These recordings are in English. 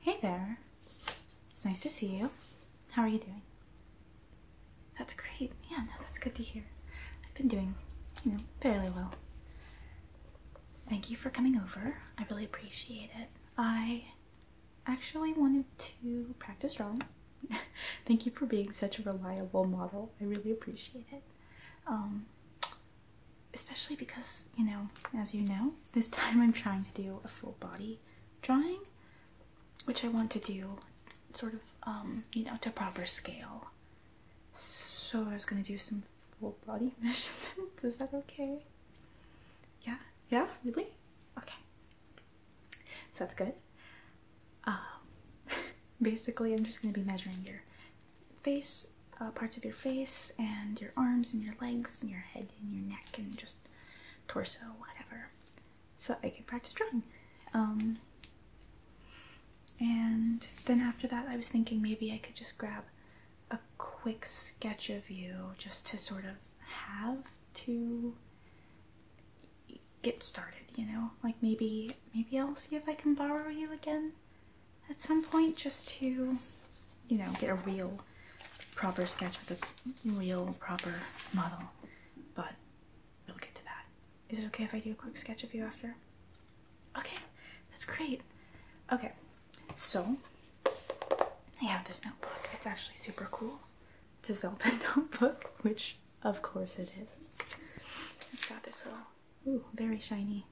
Hey there. It's nice to see you. How are you doing? That's great. Yeah, no, that's good to hear. I've been doing, you know, fairly well. Thank you for coming over. I really appreciate it. I actually wanted to practice drawing. Thank you for being such a reliable model. I really appreciate it. Um, especially because, you know, as you know, this time I'm trying to do a full body drawing, which I want to do sort of, um, you know, to proper scale. So I was gonna do some full body measurements. Is that okay? Yeah? Yeah? Really? Okay. So that's good. Um, basically, I'm just gonna be measuring your face, uh, parts of your face, and your arms, and your legs, and your head, and your neck, and just torso, whatever. So I could practice drawing. Um, and then after that, I was thinking maybe I could just grab a quick sketch of you just to sort of have to get started, you know? Like maybe maybe I'll see if I can borrow you again at some point just to, you know, get a real proper sketch with a real proper model. But we'll get to that. Is it okay if I do a quick sketch of you after? Okay, that's great. Okay, so I have this notebook. It's actually super cool. It's a Zelda notebook, which of course it is. It's got this little Ooh, very shiny.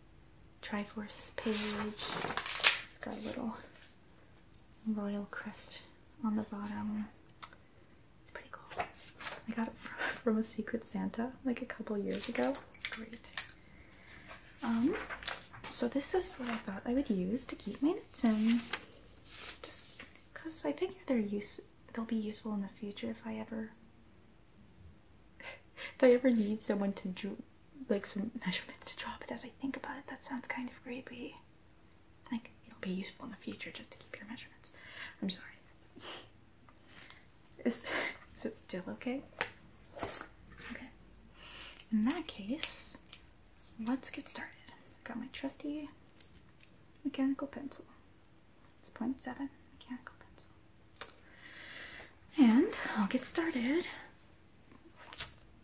Triforce page. It's got a little royal crest on the bottom. It's pretty cool. I got it from a Secret Santa like a couple years ago. great. Um, so this is what I thought I would use to keep my knits in. Just because I figure they're use they'll be useful in the future if I ever if I ever need someone to do like some measurements to draw, but as I think about it, that sounds kind of creepy. I think it'll be useful in the future just to keep your measurements. I'm sorry. Is, it still okay? Okay. In that case, let's get started. I've got my trusty mechanical pencil. It's point seven mechanical pencil. And I'll get started.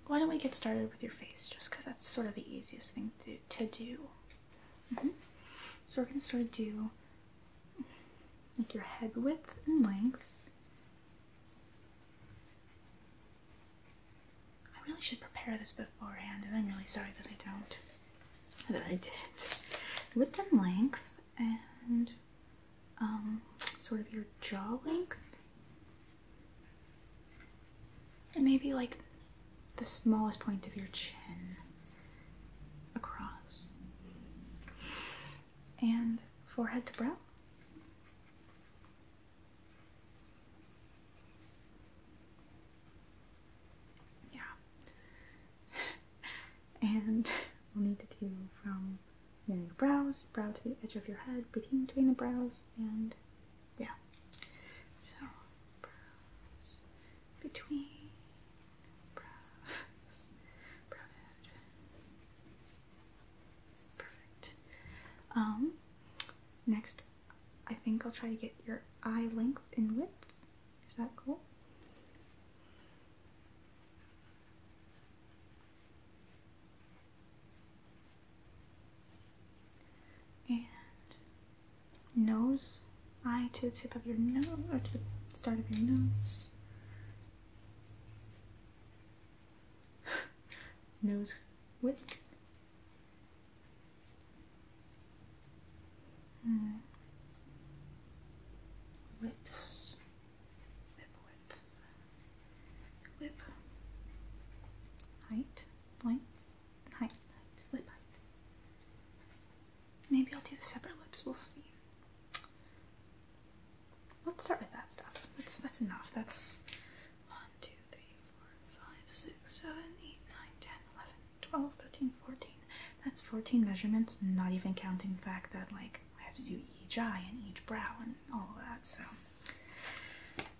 Why don't we get started with your face just because that's sort of the easiest thing to, do. Mm-hmm. So we're going to sort of do like your head width and length. I really should prepare this beforehand, and I'm really sorry that I don't. That I didn't. Width and length, and um, sort of your jaw length. And maybe like the smallest point of your chin across. And forehead to brow. Yeah. and we'll need to do from your brows, brow to the edge of your head, between between the brows, and yeah. So brows, between brows, brow edge. Perfect. Um, next, I think I'll try to get your eye length and width. Is that cool? and nose, eye to the tip of your nose, or to the start of your nose. nose width. Mm. Lips, width. Whip. Height. Length. Height. Height. Lip height. Maybe I'll do the separate lips. We'll see. Let's start with that stuff. That's that's enough. That's 1, That's 14 measurements, not even counting the fact that, like, I have to do each eye and each brow and all of that. So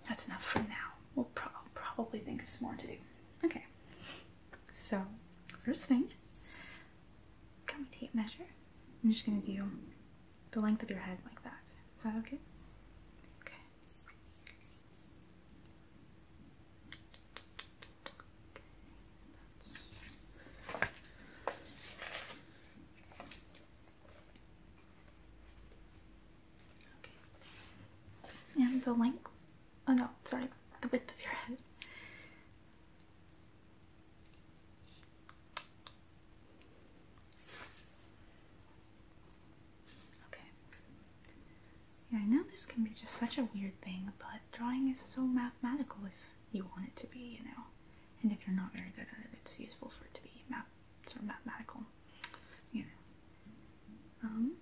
that's enough for now. We'll probably think of some more to do. Okay. So first thing, got my tape measure. I'm just gonna do the length of your head like that. Is that okay? Okay. And the length, oh no, sorry, the width of your head. Okay. Yeah, I know this can be just such a weird thing, but drawing is so mathematical if you want it to be, you know and if you're not very good at it, it's useful for it to be sort of mathematical. You know, um,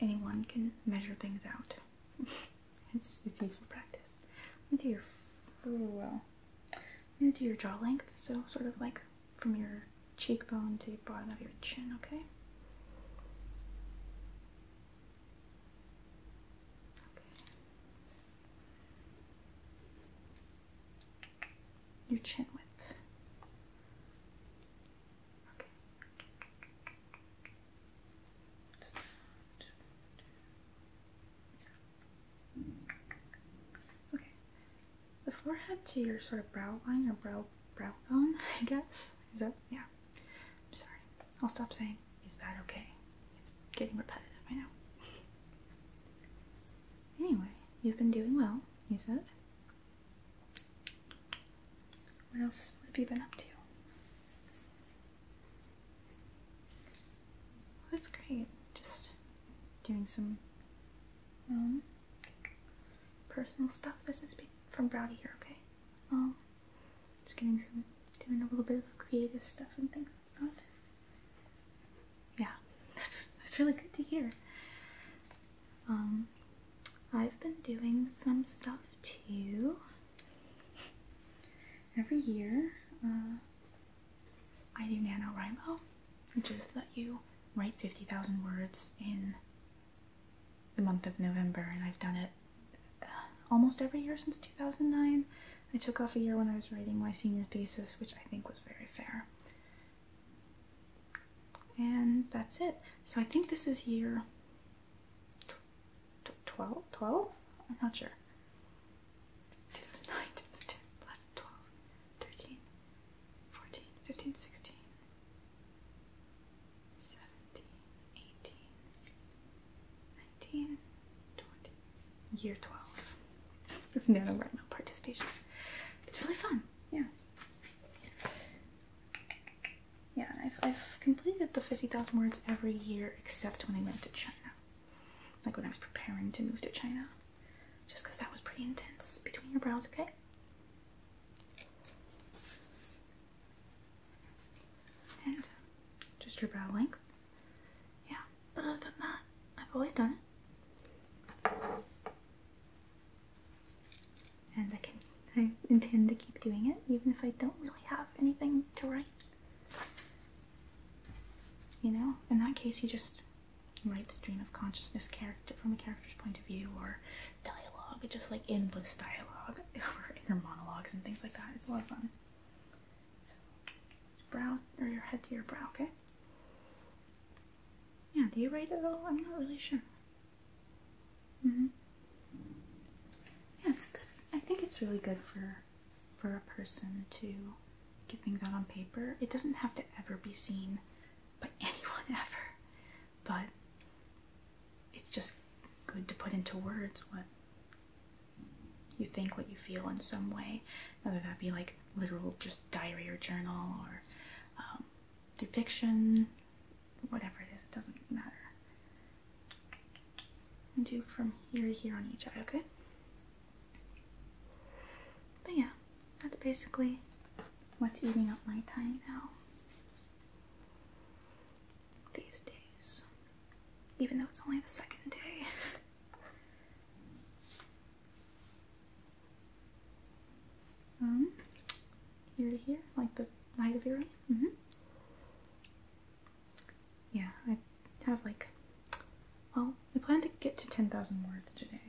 anyone can measure things out. it's it's useful practice. I'm gonna do your well. I'm gonna do your jaw length, so sort of like from your cheekbone to the bottom of your chin. Okay your chin width. Okay. The forehead to your sort of brow line or brow brow bone, I guess. Is that yeah. I'm sorry. I'll stop saying is that okay? It's getting repetitive, I know. Anyway, you've been doing well, you said. What else have you been up to? Well, that's great. Just doing some um, personal stuff. This is from Browdy here, okay? Um, just getting some, doing a little bit of creative stuff and things. Yeah, that's that's really good to hear. Um, I've been doing some stuff too. Every year, uh, I do NaNoWriMo, which is that you write 50,000 words in the month of November, and I've done it uh, almost every year since 2009. I took off a year when I was writing my senior thesis, which I think was very fair. And that's it. So I think this is year 12? 12? I'm not sure. 2009, 13, 14, 15, 16, 17, 18, 19, 20, year 12 of NaNoWriMo participation. It's really fun, yeah. Yeah, I've, I've completed the 50,000 words every year except when I went to China. Like when I was preparing to move to China. Just because that was pretty intense. Between your brows, okay? And just your brow length yeah, but other than that, I've always done it. And I can I intend to keep doing it even if I don't really have anything to write. You know, in that case you just write stream of consciousness character from a character's point of view or dialogue, just like in endless dialogue or inner monologues and things like that. It's a lot of fun brow or your head to your brow, okay? Yeah, do you write it at all? I'm not really sure. hmm Yeah, it's good. I think it's really good for for a person to get things out on paper. It doesn't have to ever be seen by anyone ever. But it's just good to put into words what you think what you feel in some way, whether that be like literal just diary or journal or um, through fiction, whatever it is, it doesn't matter. Do from here here on each eye, okay? But yeah, that's basically what's eating up my time now these days. Even though it's only the second day. Um, here to here, like the night of your mm-hmm. Yeah, I have like. Well, I plan to get to ten thousand words today.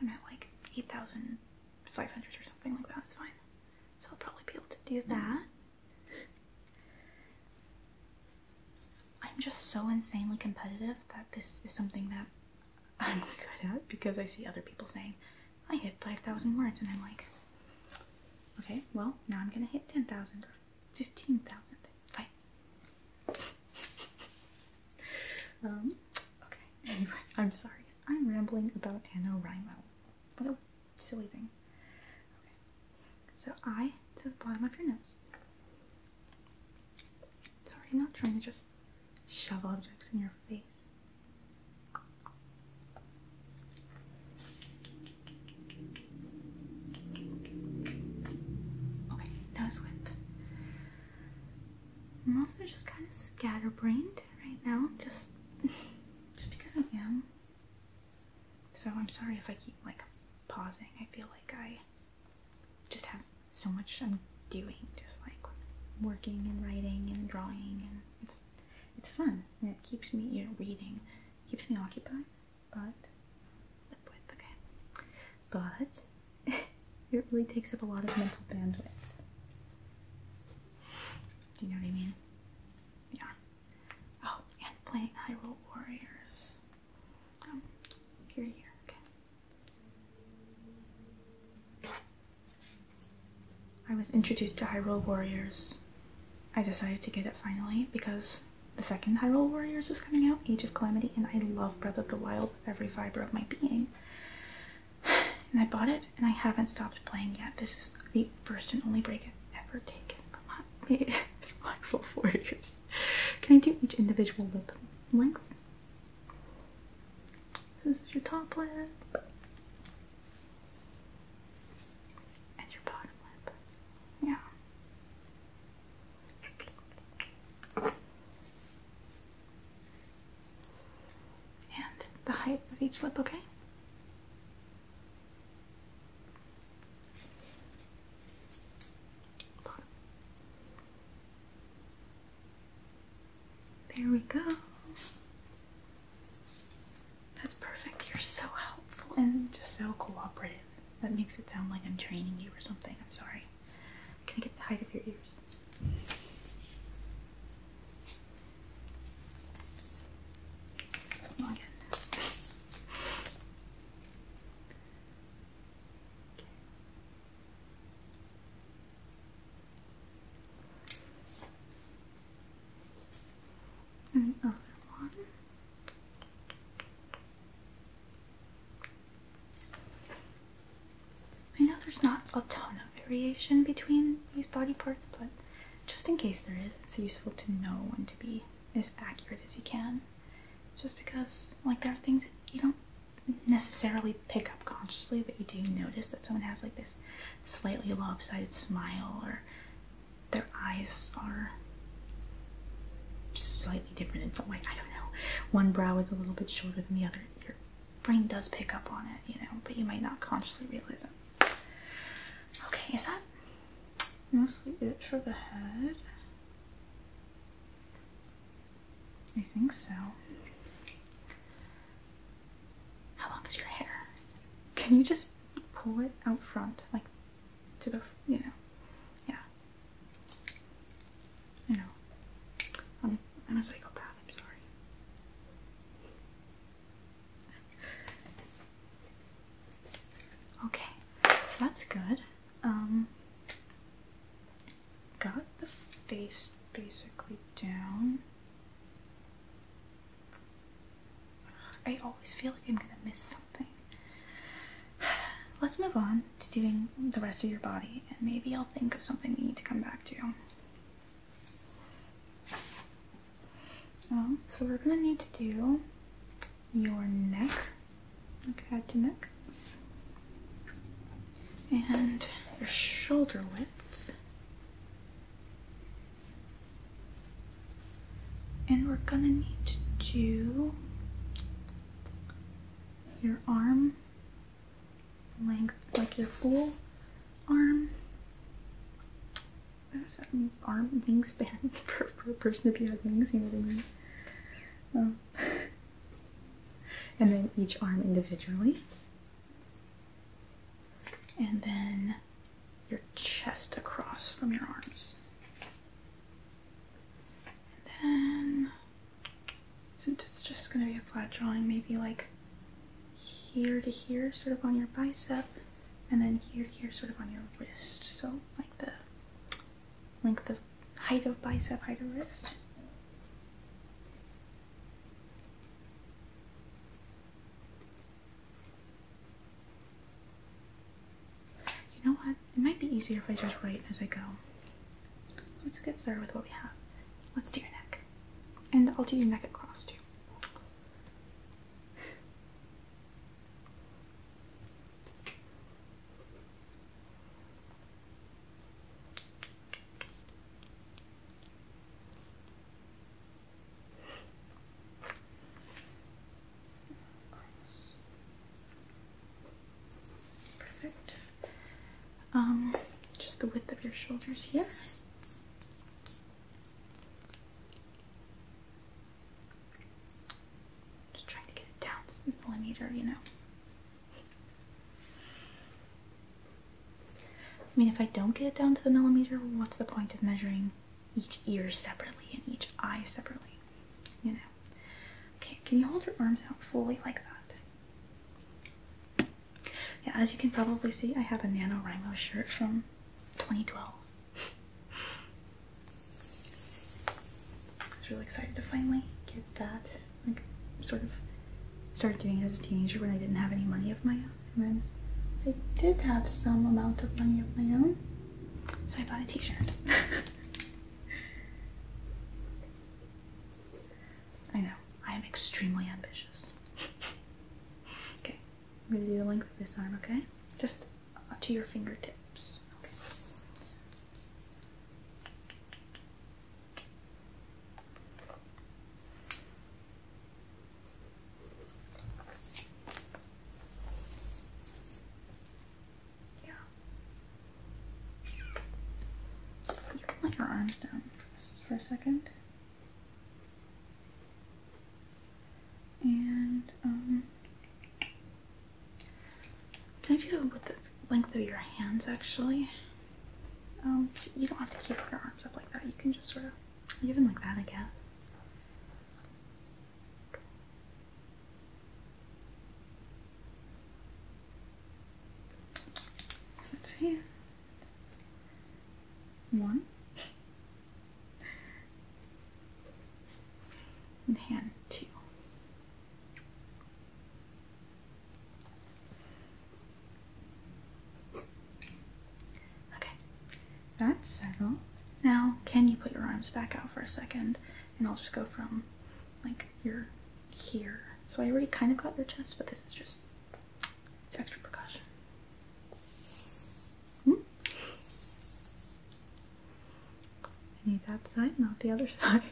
I'm at like eight thousand five hundred or something like that. It's fine. So I'll probably be able to do that. I'm just so insanely competitive that this is something that I'm good at because I see other people saying, I hit 5,000 words, and I'm like, okay, well, now I'm gonna hit 10,000 or 15,000. Fine. um, okay, anyway, I'm sorry. I'm rambling about NaNoWriMo. What a silly thing. So I to the bottom of your nose. Sorry, not trying to just shove objects in your face. Okay, nose width. I'm also just kind of scatterbrained right now, just just because I am. So I'm sorry if I keep like pausing. I feel like I just have so much I'm doing, just like working and writing and drawing, and it's it's fun and it keeps me you know, reading, keeps me occupied, but okay. But it really takes up a lot of mental bandwidth. Do you know what I mean? Yeah. Oh, and playing Hyrule Warriors. Oh, here, okay. I was introduced to Hyrule Warriors. I decided to get it finally because the second Hyrule Warriors is coming out, Age of Calamity, and I love Breath of the Wild every fiber of my being. And I bought it, and I haven't stopped playing yet. This is the first and only break I've ever taken from five for four years. Can I do each individual lip length? So this is your top lip and your bottom lip. Yeah. And the height of each lip, okay? There we go. That's perfect. You're so helpful and just so cooperative. That makes it sound like I'm training you or something. I'm sorry. Can I get the height of your ears? again. And one. I know there's not a ton of variation between these body parts, but just in case there is, it's useful to know when to be as accurate as you can. Just because, like, there are things that you don't necessarily pick up consciously, but you do notice that someone has, like, this slightly lopsided smile, or their eyes are slightly different in some way. I don't know. One brow is a little bit shorter than the other. Your brain does pick up on it, you know, but you might not consciously realize it. Okay, is that mostly it for the head. I think so. How long is your hair? Can you just pull it out front, like to the, you know, yeah. I know. am I'm a psychopath, I'm sorry. Okay, so that's good. Um, got the face basically down. I always feel like I'm gonna miss something. Let's move on to doing the rest of your body, and maybe I'll think of something we need to come back to so we're gonna need to do your neck, like head to neck, and your shoulder width. And we're gonna need to do your arm length, like your full arm there's that arm wingspan for, a person to be have wings, you know what I mean? and then each arm individually. And then your chest across from your arms. And then, since it's just going to be a flat drawing, maybe like here to here, sort of on your bicep and then here, here, sort of on your wrist. So like the length of height of bicep, height of wrist. You know what? It might be easier if I just write as I go. Let's get started with what we have. Let's do your neck. And I'll do your neck across too. Perfect. Um, just the width of your shoulders here. Just trying to get it down to millimeter, you know. I mean, if I don't get it down to the millimeter, what's the point of measuring each ear separately and each eye separately? You know. Okay, can you hold your arms out fully like that? Yeah, as you can probably see, I have a Nano NaNoWriMo shirt from 2012. I was really excited to finally get that. Like, sort of start doing it as a teenager when I didn't have any money of my own. And then I did have some amount of money of my own, so I bought a t-shirt. I know, I am extremely ambitious. okay, I'm gonna do the length of this arm, okay? Just to your fingertips. Yeah. You your arms down for a second. And, um, can I do that with the length of your hands actually? Um, you don't have to keep your arms up like that. You can just sort of, even like that, I guess. That's One and hand two. Okay, that's settled. Now, can you put your arms back out for a second? And I'll just go from like your here. So I already kind of got your chest, but this is just it's extra percussion. I hmm? need that side, not the other side.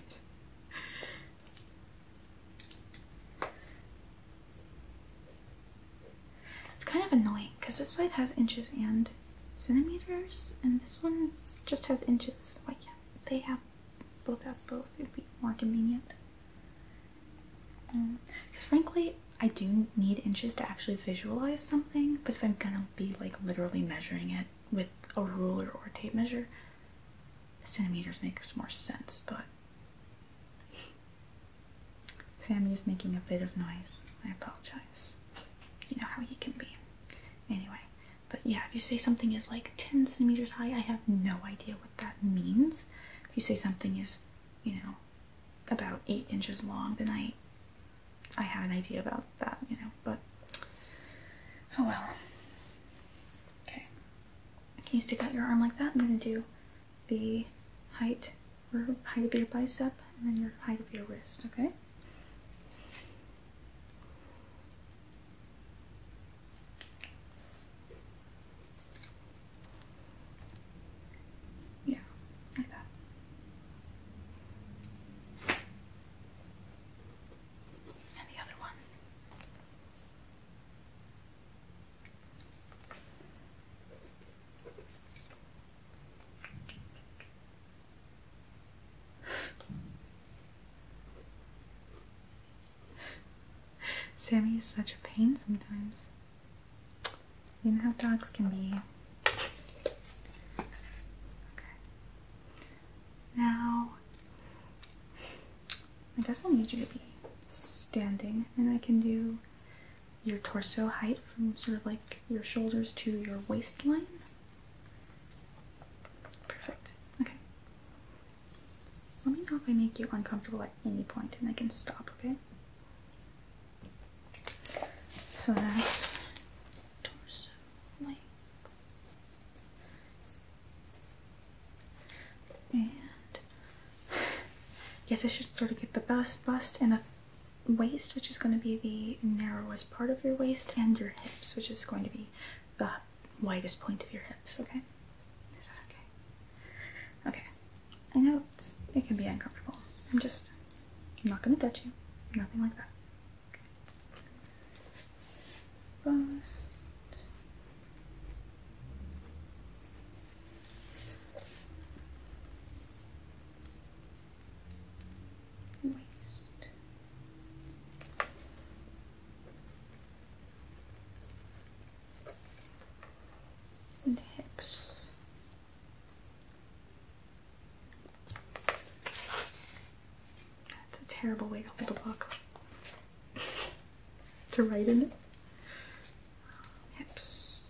it's kind of annoying because this side has inches and centimeters, and this one just has inches. Why can't they have both have both? It'd be more convenient. Because um, frankly, I do need inches to actually visualize something, but if I'm gonna be like literally measuring it with a ruler or tape measure, centimeters makes more sense, but Sammy is making a bit of noise. I apologize. You know how he can be. Anyway, but yeah, if you say something is like 10 centimeters high, I have no idea what that means. If you say something is, you know, about 8 inches long, then I I have an idea about that, you know, but oh well. Okay. Can you stick out your arm like that? I'm gonna do the height height of your bicep and then your height of your wrist, okay? Yeah, like that. And the other one. Sammy is such a pain sometimes. You know how dogs can be. Okay. Now, I guess I'll need you to be standing, and I can do your torso height from sort of like your shoulders to your waistline. Perfect. Okay. Let me know if I make you uncomfortable at any point and I can stop, okay? So that's torso length. And guess I should sort of get the bust, bust and the waist, which is going to be the narrowest part of your waist, and your hips, which is going to be the widest point of your hips, okay? Is that okay? Okay. I know it can be uncomfortable. I'm just I'm not gonna touch you. Nothing like that. Bust. Waist. hips. That's a terrible way to hold a book. to write in it. Hips.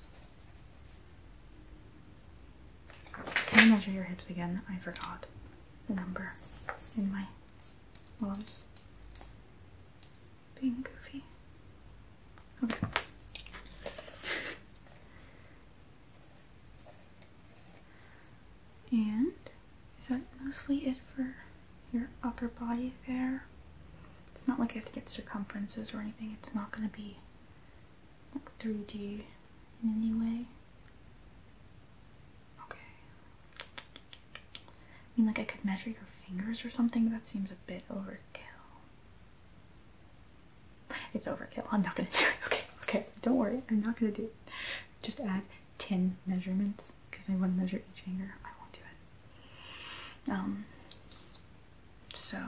Can you measure your hips again? I forgot the number in my gloves. Being goofy. Okay. And is that mostly it for your upper body there? It's not like you have to get circumferences or anything. It's not going to be like 3D in any way. Okay. I mean, like I could measure your fingers or something. That seems a bit overkill. It's overkill. I'm not gonna do it. Okay, okay, don't worry. I'm not gonna do it. Just add 10 measurements because I want to measure each finger. I won't do it. Um, so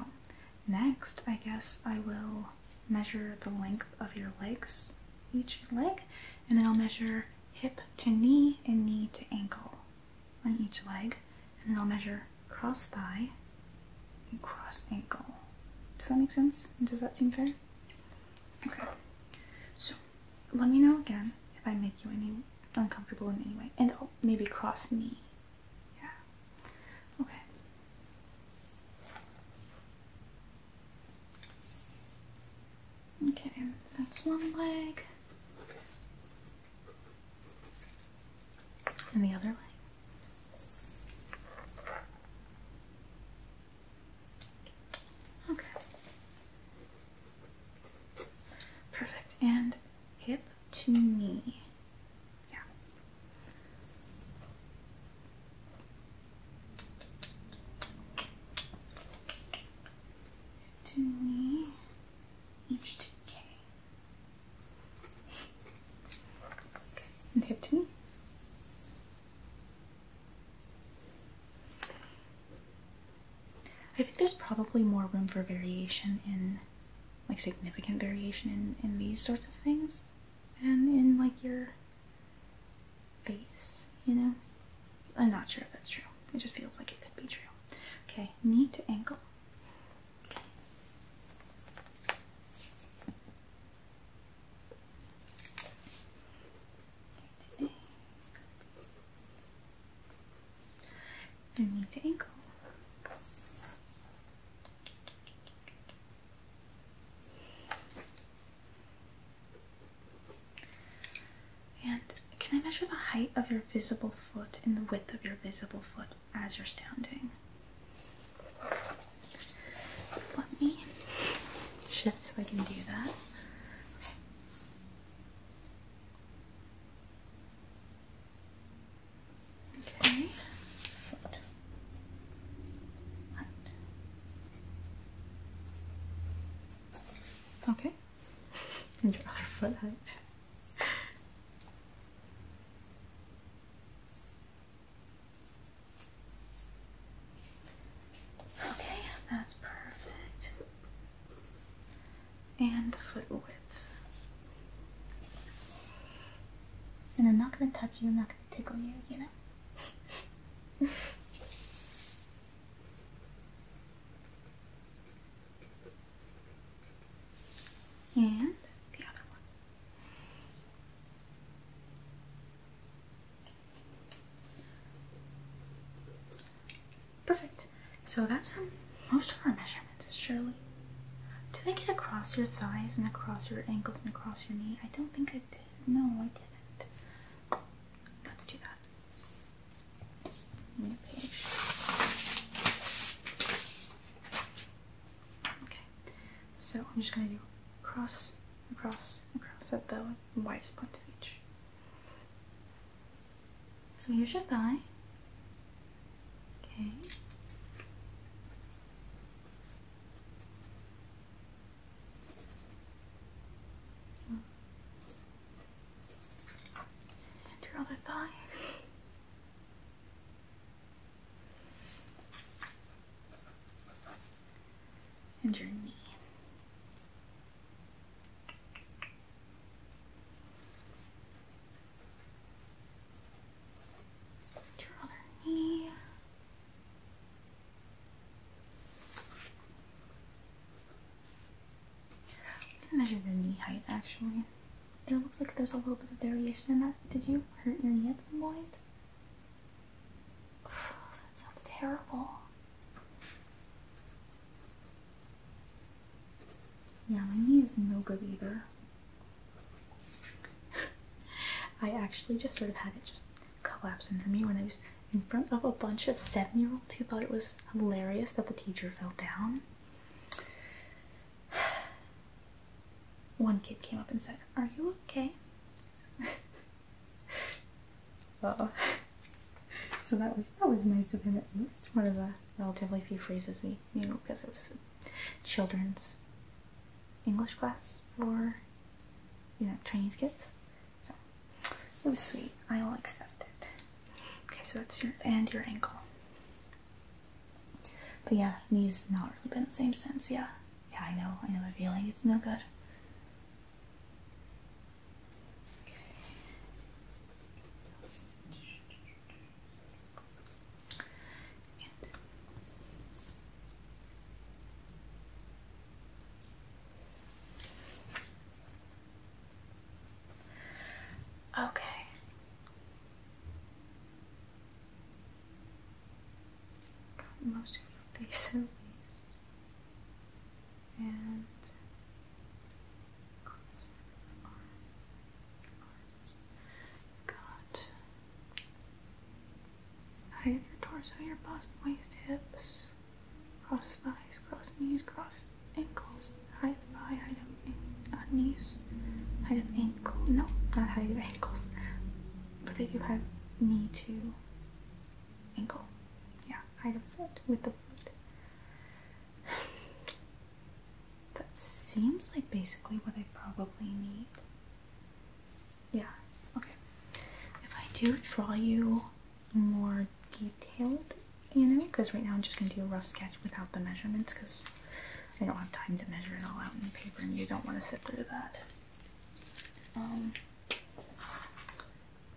next, I guess I will measure the length of your legs, each leg, and then I'll measure hip to knee and knee to ankle on each leg and then I'll measure cross thigh and cross ankle. Does that make sense? Does that seem fair? Okay. So let me know again if I make you any uncomfortable in any way, and oh, maybe cross knee. Yeah. Okay. Okay, that's one leg and the other leg. Okay. Perfect. And hip to knee. Yeah. to knee. H to K and I think there's probably more room for variation in, like significant variation in, in these sorts of things and in like your face, you know? I'm not sure if that's true. It just feels like it could be true. Okay, knee to ankle and knee ankle. And can I measure the height of your visible foot and the width of your visible foot? as you're standing. Let me shift so I can do that. Okay. Okay. Foot. Okay. And your other foot Okay, that's perfect. And the foot width. And I'm not gonna touch you, I'm not gonna tickle you, you know? and the other one. Perfect. So that's um, most of our measurements, Shirley. Did I get across your thighs and across your ankles and across your knee? I don't think I did. No, I didn't. Let's do that. New page. Okay, so I'm just gonna do cross, across, across at the widest points of each. So here's your thigh. Okay. And your other thigh and your knee. Your other knee. Measure your knee height actually. It looks like there's a little bit of variation in that. Did you hurt your knee at some point? that sounds terrible. Yeah, my knee is no good either. I actually just sort of had it just collapse under me when I was in front of a bunch of seven year olds who thought it was hilarious that the teacher fell down. One kid came up and said, Are you okay? so that was that was nice of him at least. One of the relatively few phrases we you know, because it was children's English class for you know Chinese kids. So it was sweet. I'll accept it. Okay, so that's your and your ankle. But yeah, knees not really been the same since. Yeah, yeah, I know, I know the feeling. It's no good. Okay. Got most of your face at least. And got height of your torso, your bust, waist, hips, cross thighs, cross knees, cross ankles, high of thigh, height knees, hide an ankle. No, not high your ankles, but if you have knee to ankle. Yeah, high a foot with the foot. that seems like basically what I probably need. Yeah, okay. If I do draw you more detailed, you know, because right now I'm just going to do a rough sketch without the measurements because I don't have time to measure it all out in paper, and you don't want to sit through that. Um,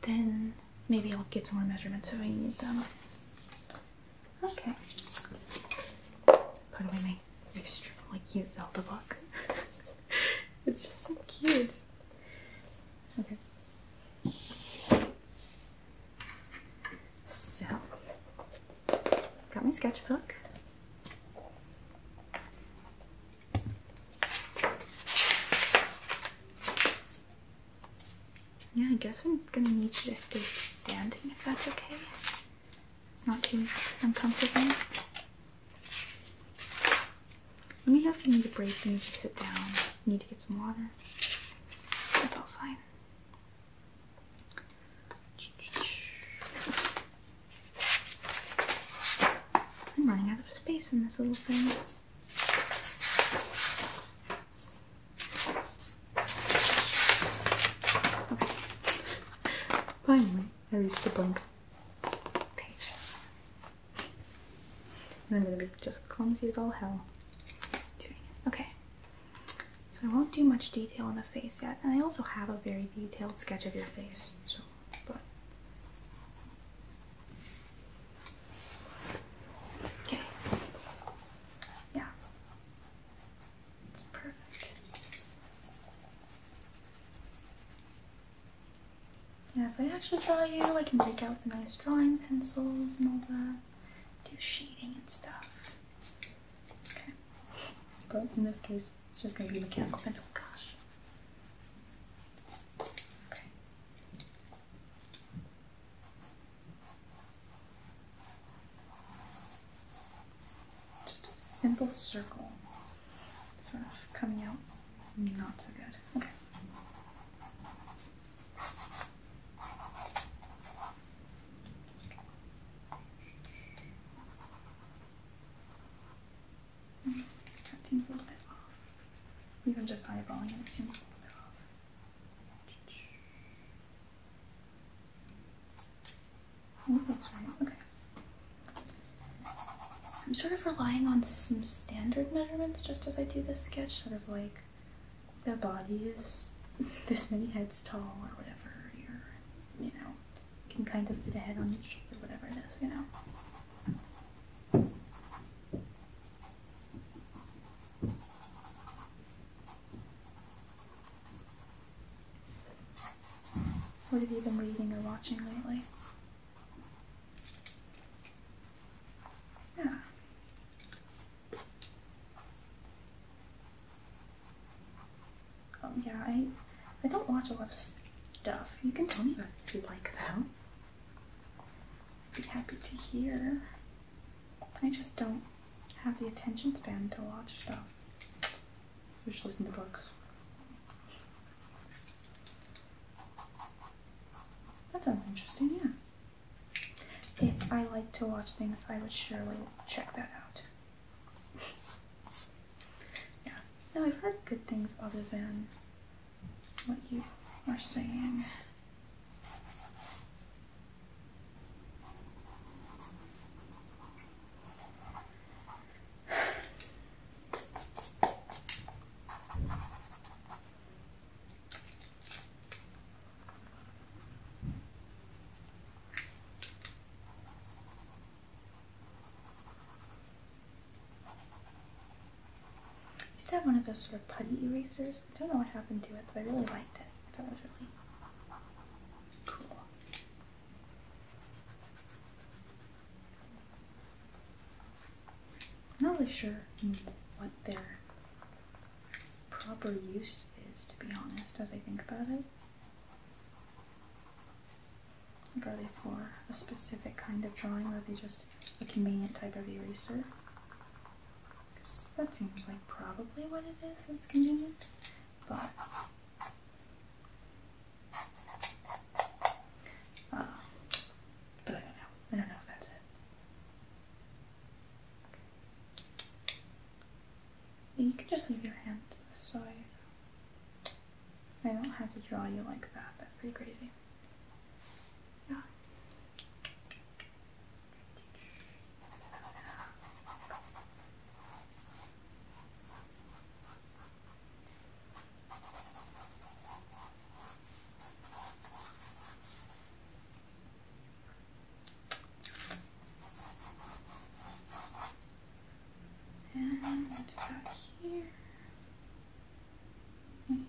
then maybe I'll get some more measurements if I need them. Okay. Put away my extremely cute Zelda book. it's just so cute. Okay. So, got my sketchbook. Yeah, I guess I'm gonna need you to stay standing if that's okay. It's not too uncomfortable. Let me know if you need a break, you need to sit down, you need to get some water. That's all fine. I'm running out of space in this little thing. Finally, I reached the blank page. And I'm gonna be just clumsy as all hell. Okay, so I won't do much detail on the face yet, and I also have a very detailed sketch of your face. So, but okay, yeah, it's perfect. Yeah, if I actually draw you, I can break out the nice drawing pencils and all that, do shading and stuff. But in this case, it's just going to be mechanical pencil. Gosh. Okay. Just a simple circle, sort of coming out not so good. Okay. Mm, that Even just eyeballing it, it seems a little bit off. Oh, that's right. Okay. I'm sort of relying on some standard measurements just as I do this sketch, sort of like the body is this many heads tall or whatever, you know, can kind of fit a head on your shoulder, whatever it is, you know. What have you been reading or watching lately? Yeah. Um, yeah, I, I don't watch a lot of stuff. You can tell me about if you like them. I'd be happy to hear. I just don't have the attention span to watch stuff. I just listen to books. That sounds interesting, yeah. If I like to watch things, I would surely check that out yeah. No, I've heard good things other than what you are saying used to have one of those sort of putty erasers. I don't know what happened to it, but I really liked it. I thought it was really cool. I'm not really sure what their proper use is, to be honest, as I think about it. Are they for a specific kind of drawing, or are they just a convenient type of eraser? Because that seems like probably what it is that's convenient, but... Uh, but I don't know. I don't know if that's it. You can just leave your hand to I don't have to draw you like that. That's pretty crazy. Yeah and back here. And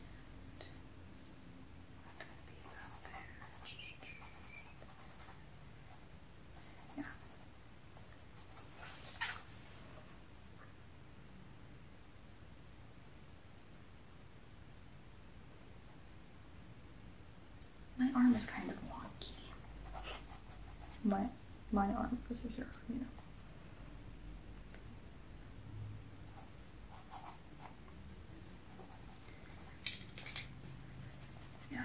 that's gonna be about there. Yeah. My arm is kind of wonky. My my arm is a zero, you know. Yeah.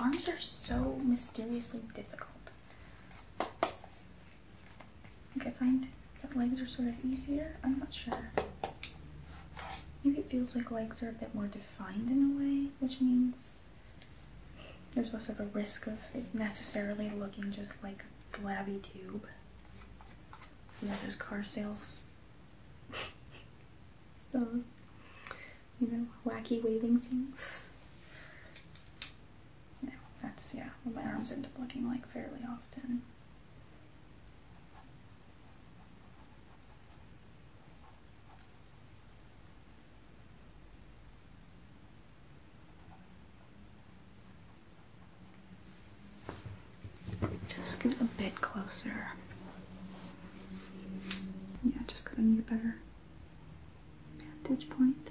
Arms are so mysteriously difficult. I find that legs are sort of easier. I'm not sure. Maybe it feels like legs are a bit more difficult. Find in a way, which means there's less of a risk of it necessarily looking just like a flabby tube. You know, those car sales. so you know, wacky waving things. Yeah, that's, yeah, my arms end up looking like fairly often. Just scoot a bit closer. Yeah, just because I need a better vantage point.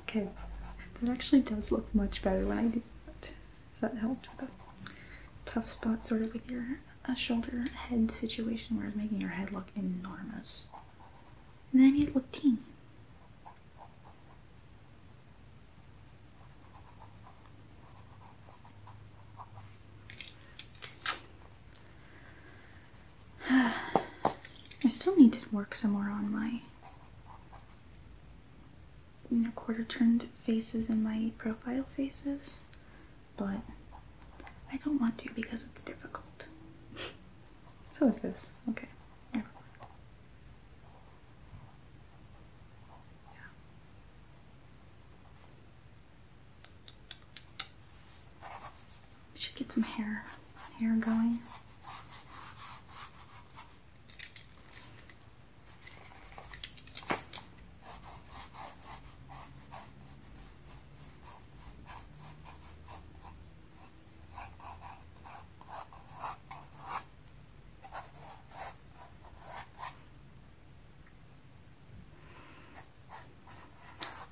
okay, that actually does look much better when I do that. So that helped with the tough spot, sort of with your uh, shoulder head situation where it's making your head look enormous. And then I made it look teeny. I still need to work some more on my you know, quarter turned faces and my profile faces, but I don't want to because it's difficult. so is this. Okay. Should get some hair hair going.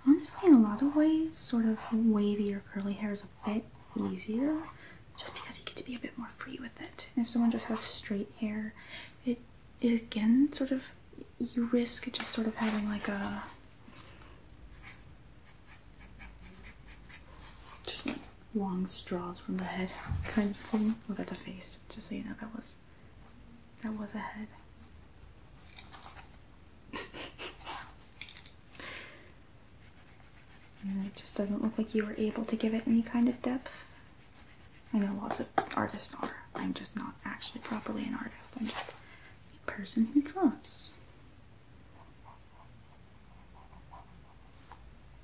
Honestly, in a lot of ways, sort of wavy or curly hair is a bit easier just because you get to be a bit more free with it. if someone just has straight hair, it again sort of you risk just sort of having like a just like long straws from the head kind of thing. Look at the face. Just so you know, that was that was a head. it just doesn't look like you were able to give it any kind of depth. I know lots of artists are. I'm just not actually properly an artist. I'm just a person who draws.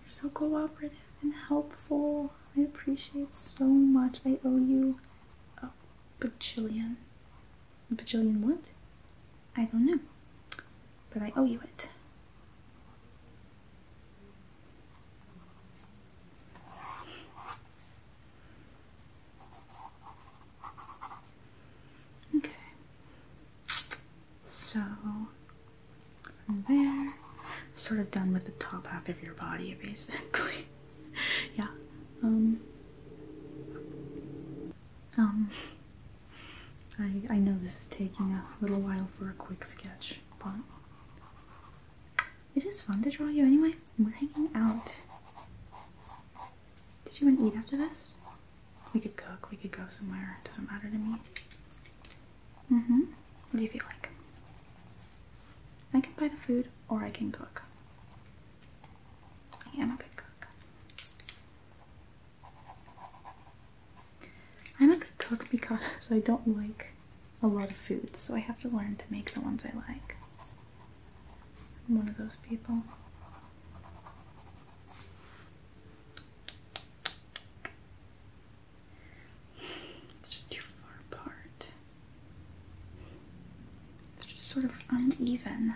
You're so cooperative and helpful. I appreciate so much. I owe you a bajillion. A bajillion what? I don't know. But I owe you it. Okay. So from there, sort of done with the top half of your body basically. yeah. Um Um I I know this is taking a little while for a quick sketch, but it is fun to draw you anyway. We're hanging out. Did you want to eat after this? We could cook, we could go somewhere. It doesn't matter to me. Mm-hmm. What do you feel like? I can buy the food or I can cook. I am a good cook. I'm a good cook because I don't like a lot of foods, so I have to learn to make the ones I like. I'm one of those people. It's just too far apart. they just sort of uneven.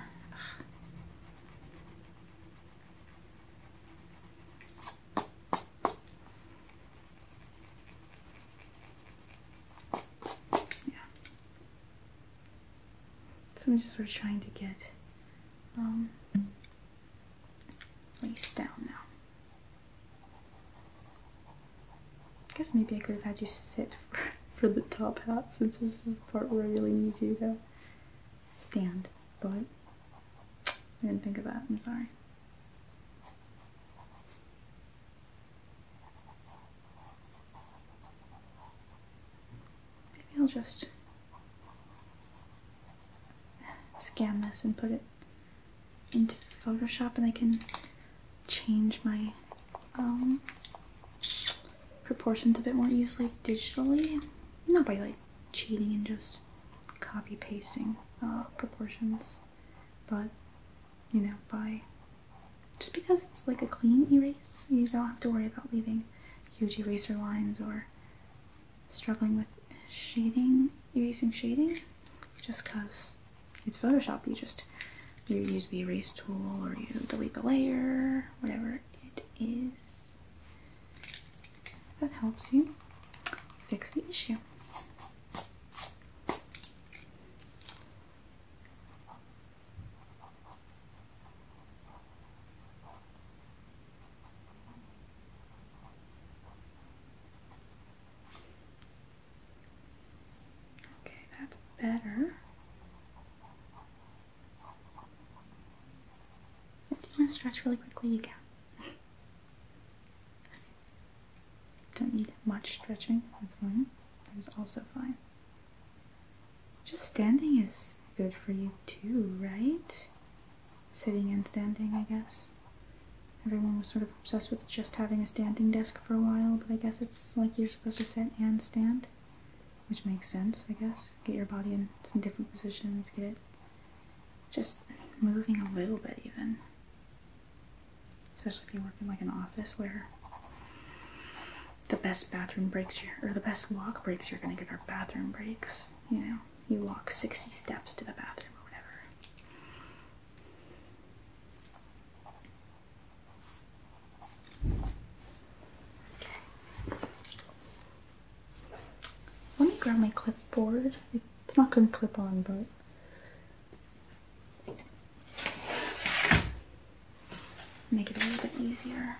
Yeah, so I'm just sort of trying to get um, lace down now. I guess maybe I could have had you sit for, the top half since this is the part where I really need you to stand, but I didn't think of that, I'm sorry. Maybe I'll just scan this and put it into Photoshop and I can change my um, proportions a bit more easily digitally. Not by like cheating and just copy pasting uh, proportions, but you know, by just because it's like a clean erase, you don't have to worry about leaving huge eraser lines or struggling with shading, erasing shading, just because it's Photoshop. You just you use the erase tool or you delete the layer, whatever it is that helps you fix the issue. Okay, that's better. Do you want to stretch really quickly, again? Don't need much stretching, that's fine. That is also fine. Just standing is good for you too, right? Sitting and standing, I guess. Everyone was sort of obsessed with just having a standing desk for a while, but I guess it's like you're supposed to sit and stand, which makes sense, I guess. Get your body in some different positions, get it just moving a little bit even especially if you work in like an office where the best bathroom breaks your or the best walk breaks you're gonna get are bathroom breaks. You know, you walk 60 steps to the bathroom or whatever. Okay. Let me grab my clipboard. It's not gonna clip on, but Make it a little bit easier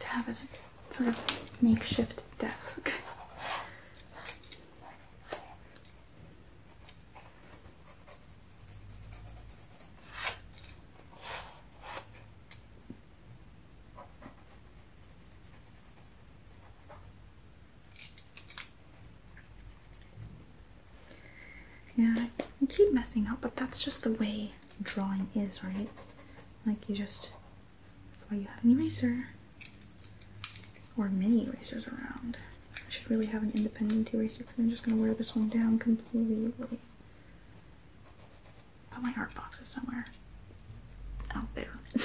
to have as a sort of makeshift desk. Yeah, I keep messing up, but that's just the way drawing is, right? Like you just, that's why you have an eraser or many erasers around. I should really have an independent eraser, because I'm just gonna wear this one down completely. Put my art box somewhere out there.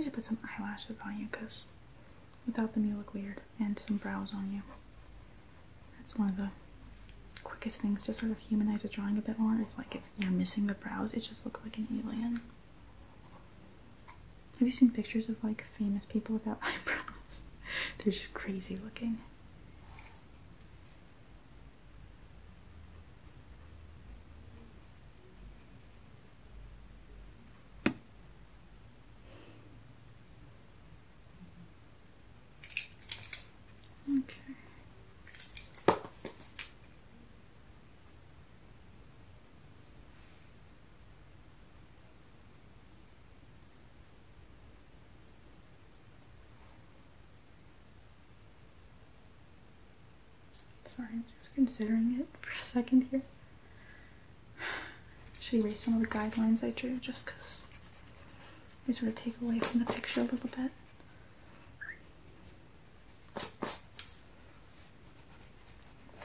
I should put some eyelashes on you because without them you look weird and some brows on you. That's one of the quickest things to sort of humanize a drawing a bit more It's like if you missing the brows, it just looks like an alien. Have you seen pictures of like famous people without eyebrows? They're just crazy looking. Okay. Sorry, I'm just considering it for a second here. Should erase some of the guidelines I drew just because they sort of take away from the picture a little bit.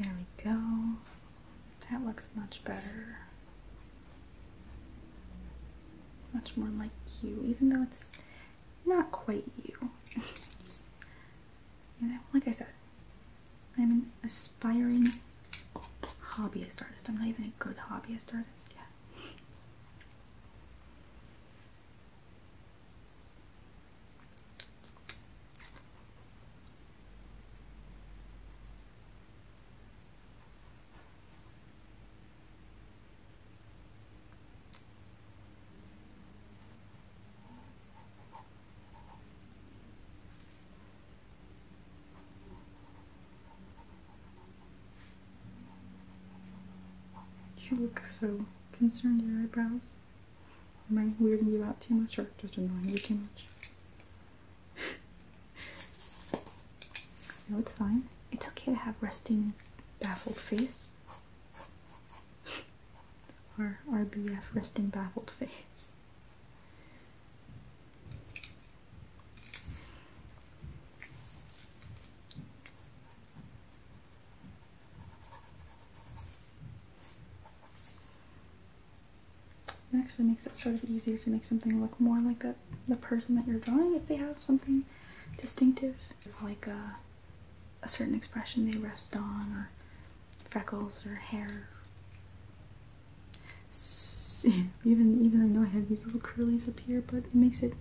There we go. That looks much better. Much more like you, even though it's not quite you. you know, like I said, I'm an aspiring hobbyist artist. I'm not even a good hobbyist artist yet. You look so concerned, your eyebrows. Am I weirding you out too much or just annoying you too much? No, it's fine. It's okay to have resting, baffled face. or RBF, resting, baffled face. It actually makes it sort of easier to make something look more like that the person that you're drawing if they have something distinctive, like a, certain expression they rest on, or freckles or hair. even even I know I have these little curlies up here, but it makes it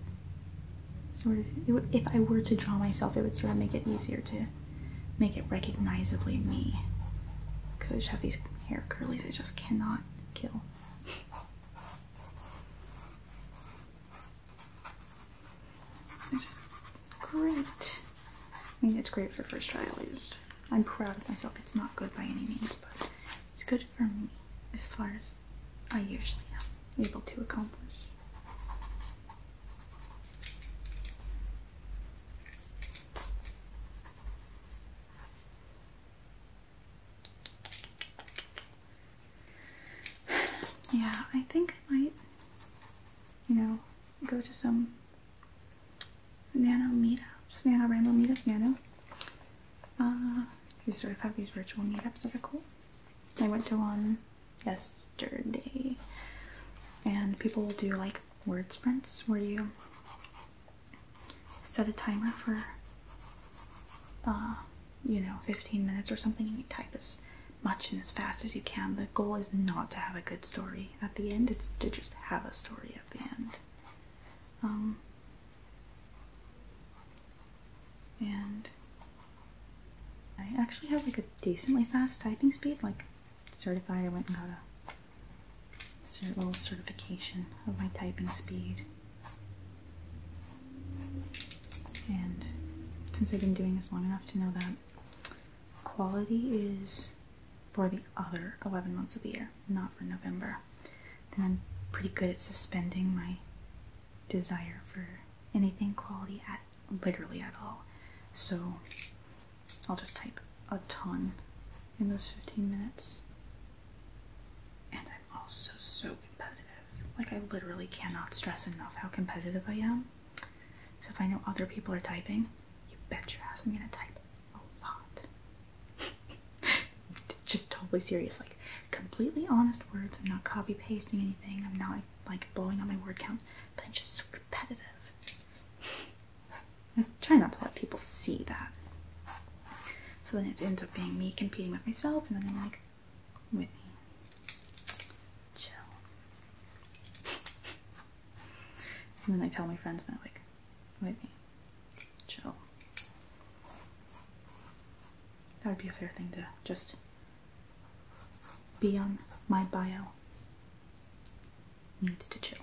sort of. if I were to draw myself, it would sort of make it easier to make it recognizably me. Because I just have these hair curlies I just cannot kill. This is great. I mean, it's great for first try at I'm proud of myself. It's not good by any means, but it's good for me as far as I usually am able to accomplish yeah, I think I might, you know, go to some nano meetups, nano random meetups, nano. Uh, we sort of have these virtual meetups that are cool. I went to one yesterday, and people will do like word sprints where you set a timer for uh, you know 15 minutes or something and you type as much and as fast as you can the goal is not to have a good story at the end it's to just have a story at the end um, and i actually have like a decently fast typing speed like certified i went and got a little certification of my typing speed and since I've been doing this long enough to know that quality is for the other 11 months of the year, not for November, I'm pretty good at suspending my desire for anything quality at literally at all. So I'll just type a ton in those 15 minutes. And also so competitive. Like, I literally cannot stress enough how competitive I am. So, if I know other people are typing, you bet your ass I'm gonna type a lot. Just totally serious. Like, completely honest words. I'm not copy pasting anything. I'm not like blowing up my word count, but I'm just so competitive. I try not to let people see that. So then it ends up being me competing with myself, and then I'm like, Whitney, chill. And then I tell my friends, that they're like, Whitney, chill. That would be a fair thing to just be on my bio. Needs to chill.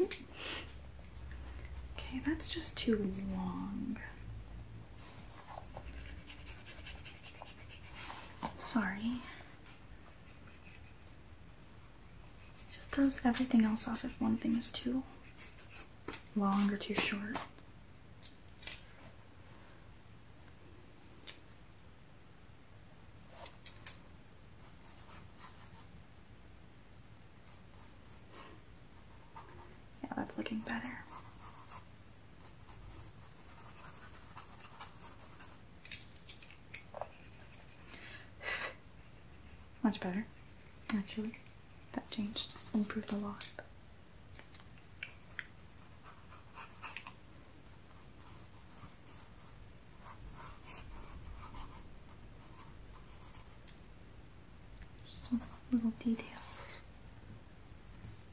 Okay, that's just too long. Sorry. Just throws everything else off if one thing is too long or too short. Yeah, that's looking better. Much better, actually. That changed, improved a lot. Just little details.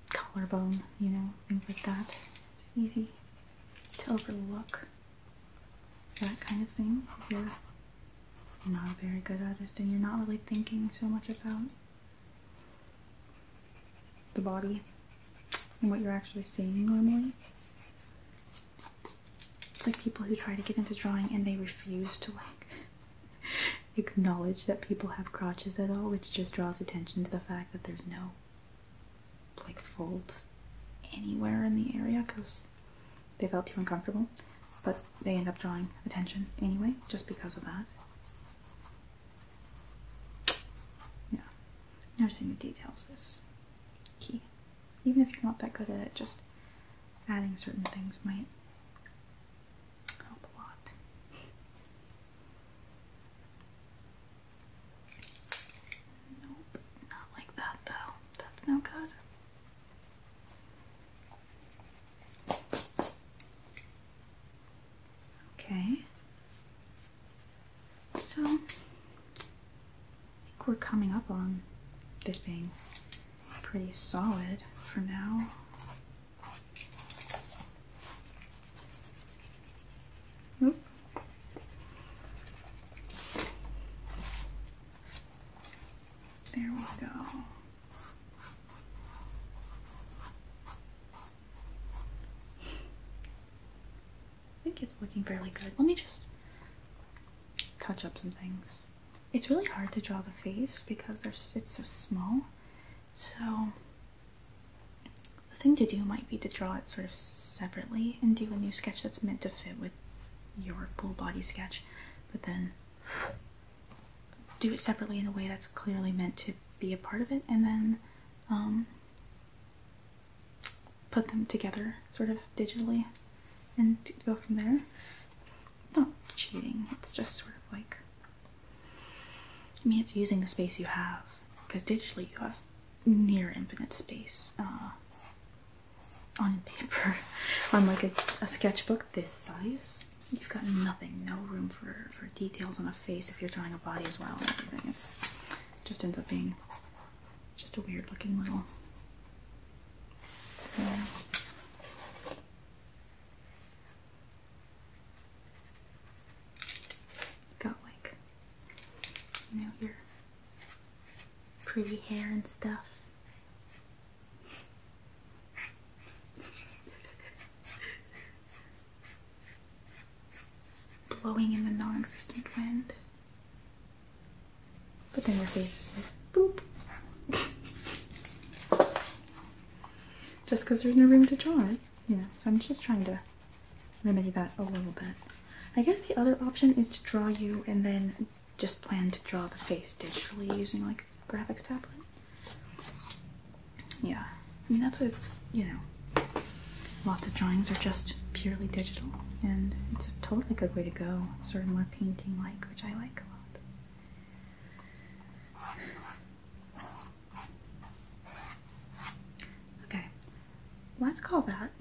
Collarbone, you know, things like that. It's easy to overlook that kind of thing if you're not a very good artist and you're not really thinking so much about the body and what you're actually seeing normally. It's like people who try to get into drawing and they refuse to like acknowledge that people have crotches at all, which just draws attention to the fact that there's no like folds anywhere in the area because they felt too uncomfortable. But they end up drawing attention anyway, just because of that. Yeah, noticing the details is key even if you're not that good at it, just adding certain things might help a lot. Nope, not like that though. That's no good. Okay. So I think we're coming up on this being pretty solid for now. Oop. There we go. I think it's looking fairly good. Let me just touch up some things it's really hard to draw the face because it's so small. So the thing to do might be to draw it sort of separately and do a new sketch that's meant to fit with your full body sketch, but then do it separately in a way that's clearly meant to be a part of it, and then um, put them together sort of digitally and go from there. Not cheating, it's just sort of like I mean it's using the space you have because digitally you have near infinite space uh, on paper on like a, sketchbook this size you've got nothing no room for for details on a face if you're drawing a body as well and everything it's just ends up being just a weird looking little. Got like, you know, your pretty hair and stuff. Blowing in the non existent wind. But then your face is like, boop. just because there's no room to draw it, you So I'm just trying to remedy that a little bit. I guess the other option is to draw you and then just plan to draw the face digitally using like a graphics tablet. Yeah, I mean that's what it's, you know, lots of drawings are just purely digital and it's a totally good way to go. Sort of more painting like which I like a lot. Okay, let's call that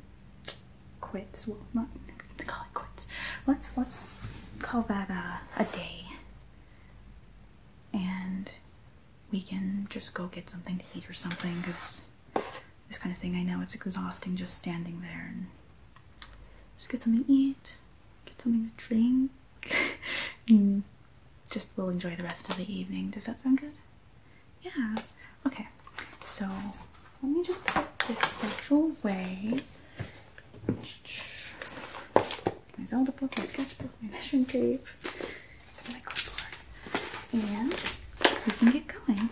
quits. Well, not call it quits. Let's let's call that a, uh, a day, and we can just go get something to eat or something. Cause this kind of thing, I know it's exhausting just standing there just get something to eat, get something to drink, just we'll enjoy the rest of the evening. Does that sound good? Yeah. Okay. So let me just put this satchel away. My Zelda book, my sketchbook, my measuring tape, and we can get going.